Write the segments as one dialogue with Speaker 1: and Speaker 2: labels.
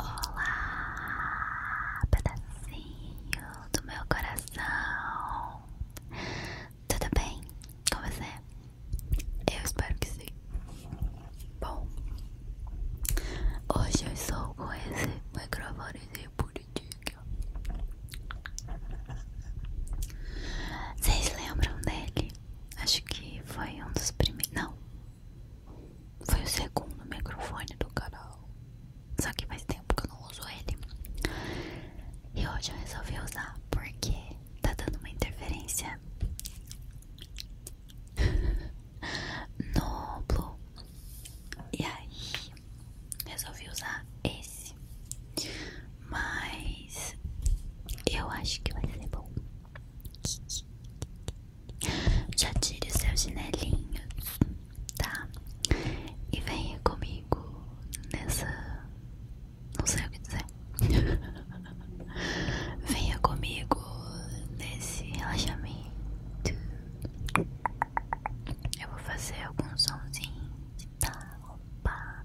Speaker 1: Olá, pedacinho do meu coração. Tudo bem com você? Eu espero que sim. Bom, hoje eu estou com esse microfonezinho bonitinho. Vocês lembram dele? Acho que foi um dos primeiros. Não. Foi o segundo microfone do canal. Só que faz tempo que eu não uso ele. E hoje eu resolvi usar porque tá dando uma interferência no Blue. E aí, resolvi usar esse. Mas eu acho que vai ser bom. Já tire os seus chinelinhos, tá? E venha comigo nessa. Não sei o que dizer. venha comigo nesse relaxamento. Eu vou fazer algum somzinho, tá? Opa.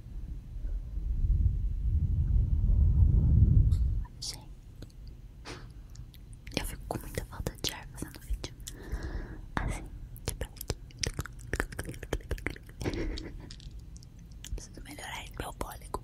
Speaker 1: Gente, eu fico com muita falta de ar fazendo vídeo assim, tipo aqui. Preciso melhorar meu fôlego.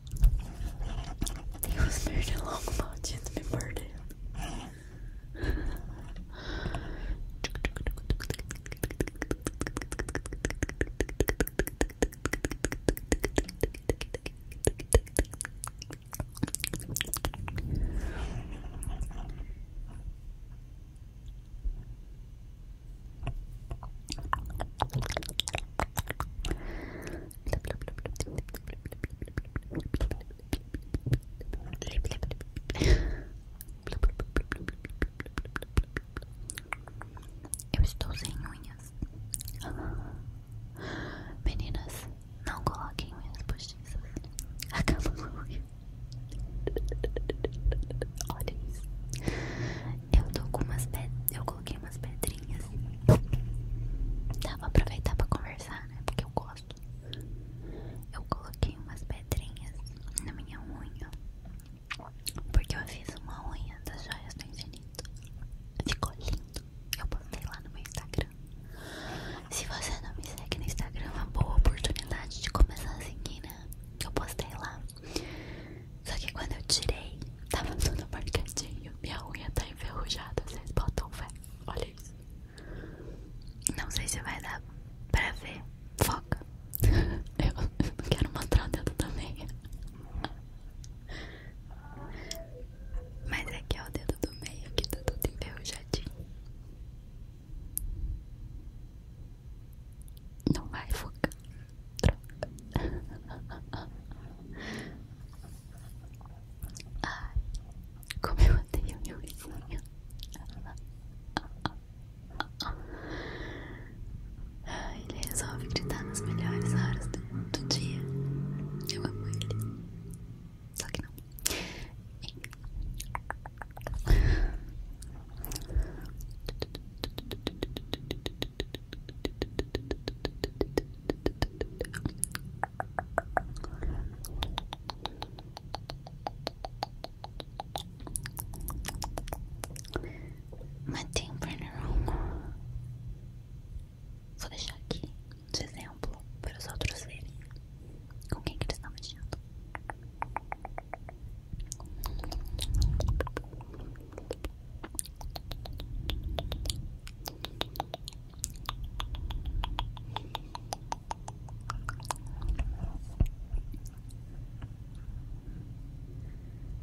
Speaker 1: He was married a long lot, it's been Eu estou sem unhas. Meninas, não coloquem unhas postiças. Acaba com unha. Olha isso. Eu tô com umas pedras. Eu coloquei umas pedras pedrinhas. Tá, aproveitar pra conversar, né? Porque eu gosto. Eu coloquei umas pedrinhas na minha unha. Porque eu fiz uma unha das joias do infinito. Ficou lindo. Eu postei lá no meu Instagram. Se você não me segue no Instagram, é uma boa oportunidade de começar a seguir, né? Eu postei lá. Só que quando eu tirei, tava tudo marcadinho. Minha unha tá enferrujada, vocês botam fé. Olha isso. Não sei se vai dar pra ver. Foca. Eu não quero mostrar o dedo do meio Mas aqui é, é o dedo do meio que tá todo enferrujadinho. Não vai, foca. Troca. Ai, como eu odeio meu vizinho. ele resolve gritar nas melhores horas do dia. Eu amo ele. Só que não. Matei um pernilongo. Vou deixar aqui de exemplo para os outros verem com quem que eles estão mexendo.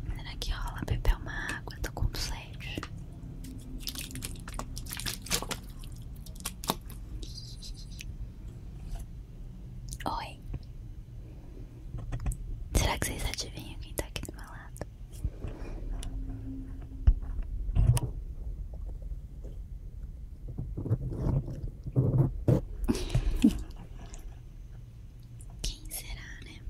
Speaker 1: Será que rola beber uma água? Tô com sede. Oi. Será que vocês adivinham quem tá aqui do meu lado? Quem será, né?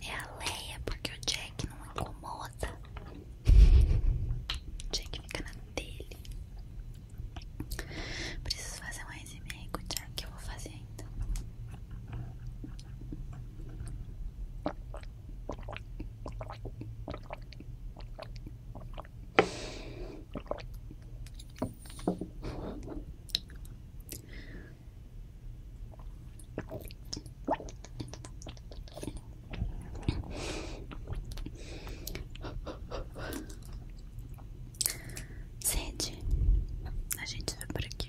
Speaker 1: É a Leia, porque o Jack não incomoda. O Jack fica na dele. Preciso fazer mais e-mail com o Jack que eu vou fazer ainda. Então. Sede, a gente vai por aqui.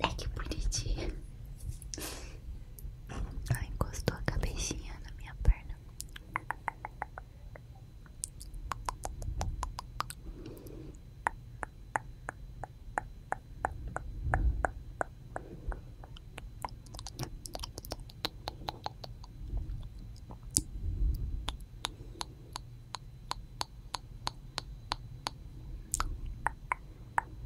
Speaker 1: É que bonitinho. Ela encostou a cabecinha na minha perna.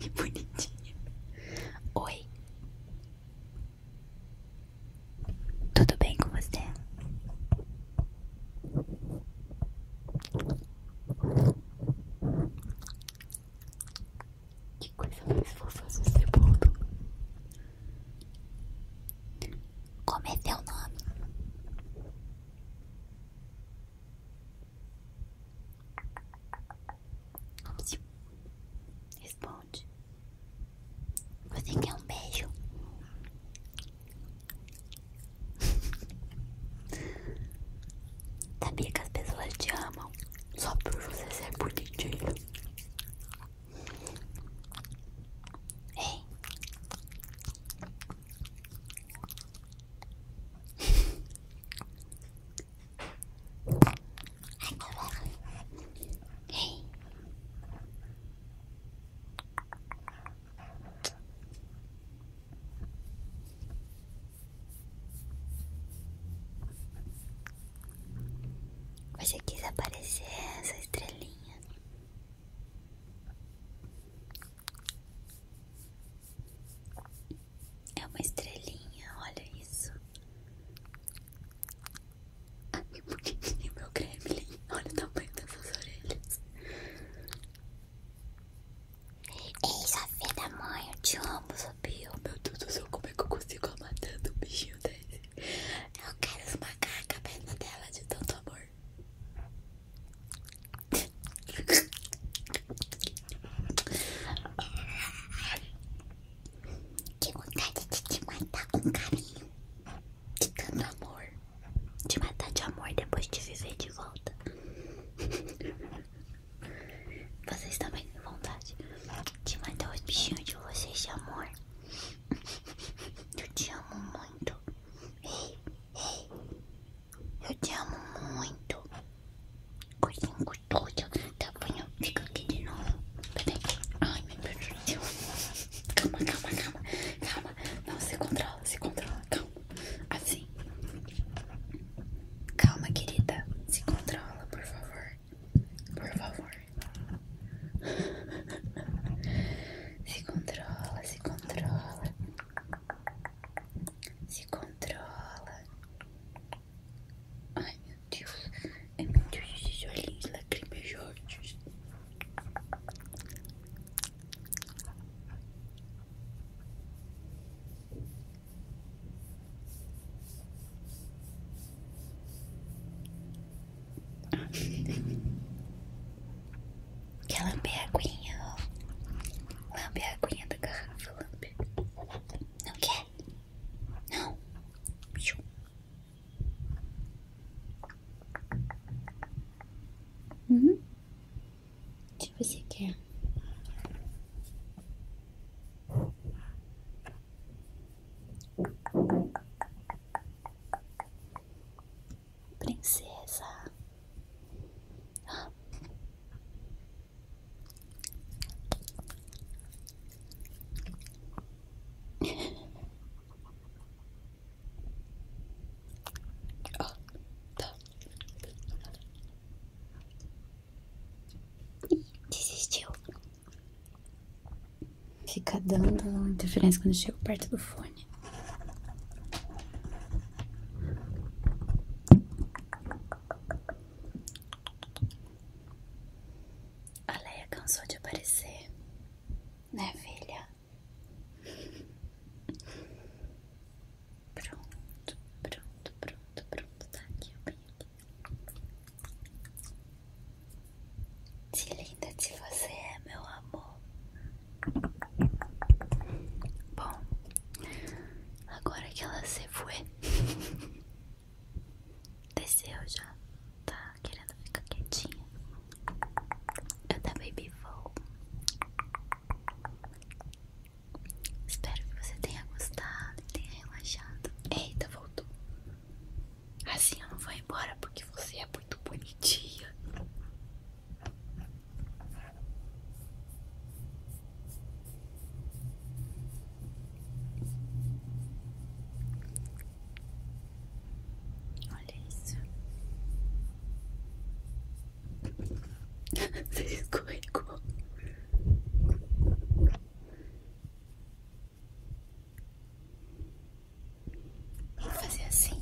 Speaker 1: que bonitinha. Oi. Tudo bem com você? Que coisa mais fofa esse bolo. Como é teu nome? Responde. Você quer um beijo? Sabia que as pessoas te amam só por você ser bonitinho. Ei. Ei. Você quis aparecer essa estrelinha é uma estrelinha, olha isso. Ai, bonitinho meu gremlin. Olha o tamanho dessas orelhas. Ei, Sofia da mãe, eu te amo, Sofia. Oh, meu Deus do céu, como é que eu consigo amar tanto um bichinho dele. Eu quero esmagar a cabeça dela de tanto amor. Que vontade de te matar com carinho, te dando amor, de matar de amor depois de viver de volta. Vocês também têm vontade de matar os bichinhos de vocês de amor. Eu te amo muito. Eu te amo muito. Coisinha gostosa. Tá bom, fica aqui de novo. Ai, meu Deus do céu. Calma, calma, calma. Calma. Não, se controla, se controla. Calma. Assim. Calma, querida. Se controla, por favor. Por favor. Se controla, se controla. Se controla. Ai, meu Deus. Ai, é meu Deus, esses olhinhos lacrimejantes. Quer lamber a aguinha, ó. a aguinha da garrafa, lambe. Não quer? Não. Uhum. O que você quer? princesa. Ah. tá. Desistiu. Fica dando interferência quando chego perto do fone. A Leia cansou de aparecer, né, filha? Pronto, pronto, pronto, pronto. Tá aqui, eu venho aqui. De linda de você é, meu amor. Bom, agora que ela se foi, desceu já. Tá querendo ficar quietinha. Eu também me vou. Espero que você tenha gostado, tenha relaxado. Eita, voltou. Assim eu não vou embora porque você é muito bonitinha. Olha isso. Você escorregou. Vou fazer assim.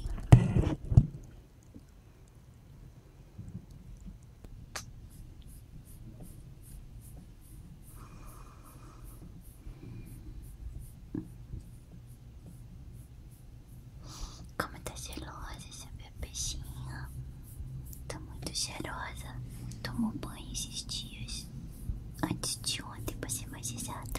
Speaker 1: Como tá gelosa essa minha peixinha. tô muito cheirosa. Tomou banho esses dias. Antes de ontem, pra ser mais exata.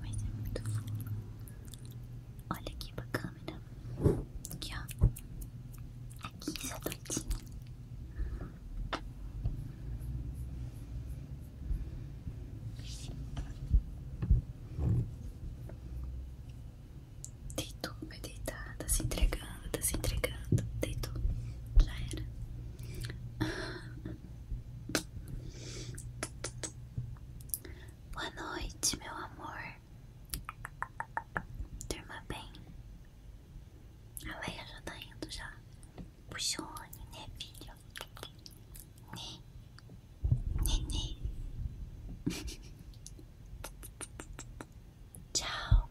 Speaker 1: mas é muito fofo. Olha aqui pra câmera. Aqui, ó. Aqui, essa doidinha. Deitou, vai deitar. Tá se entregando, tá se entregando. Deitou. Já era. Boa noite, meu amor. Durma bem. A Leia já tá indo já. Puxone, né, filho? Né? Nenê. Né, né? Tchau.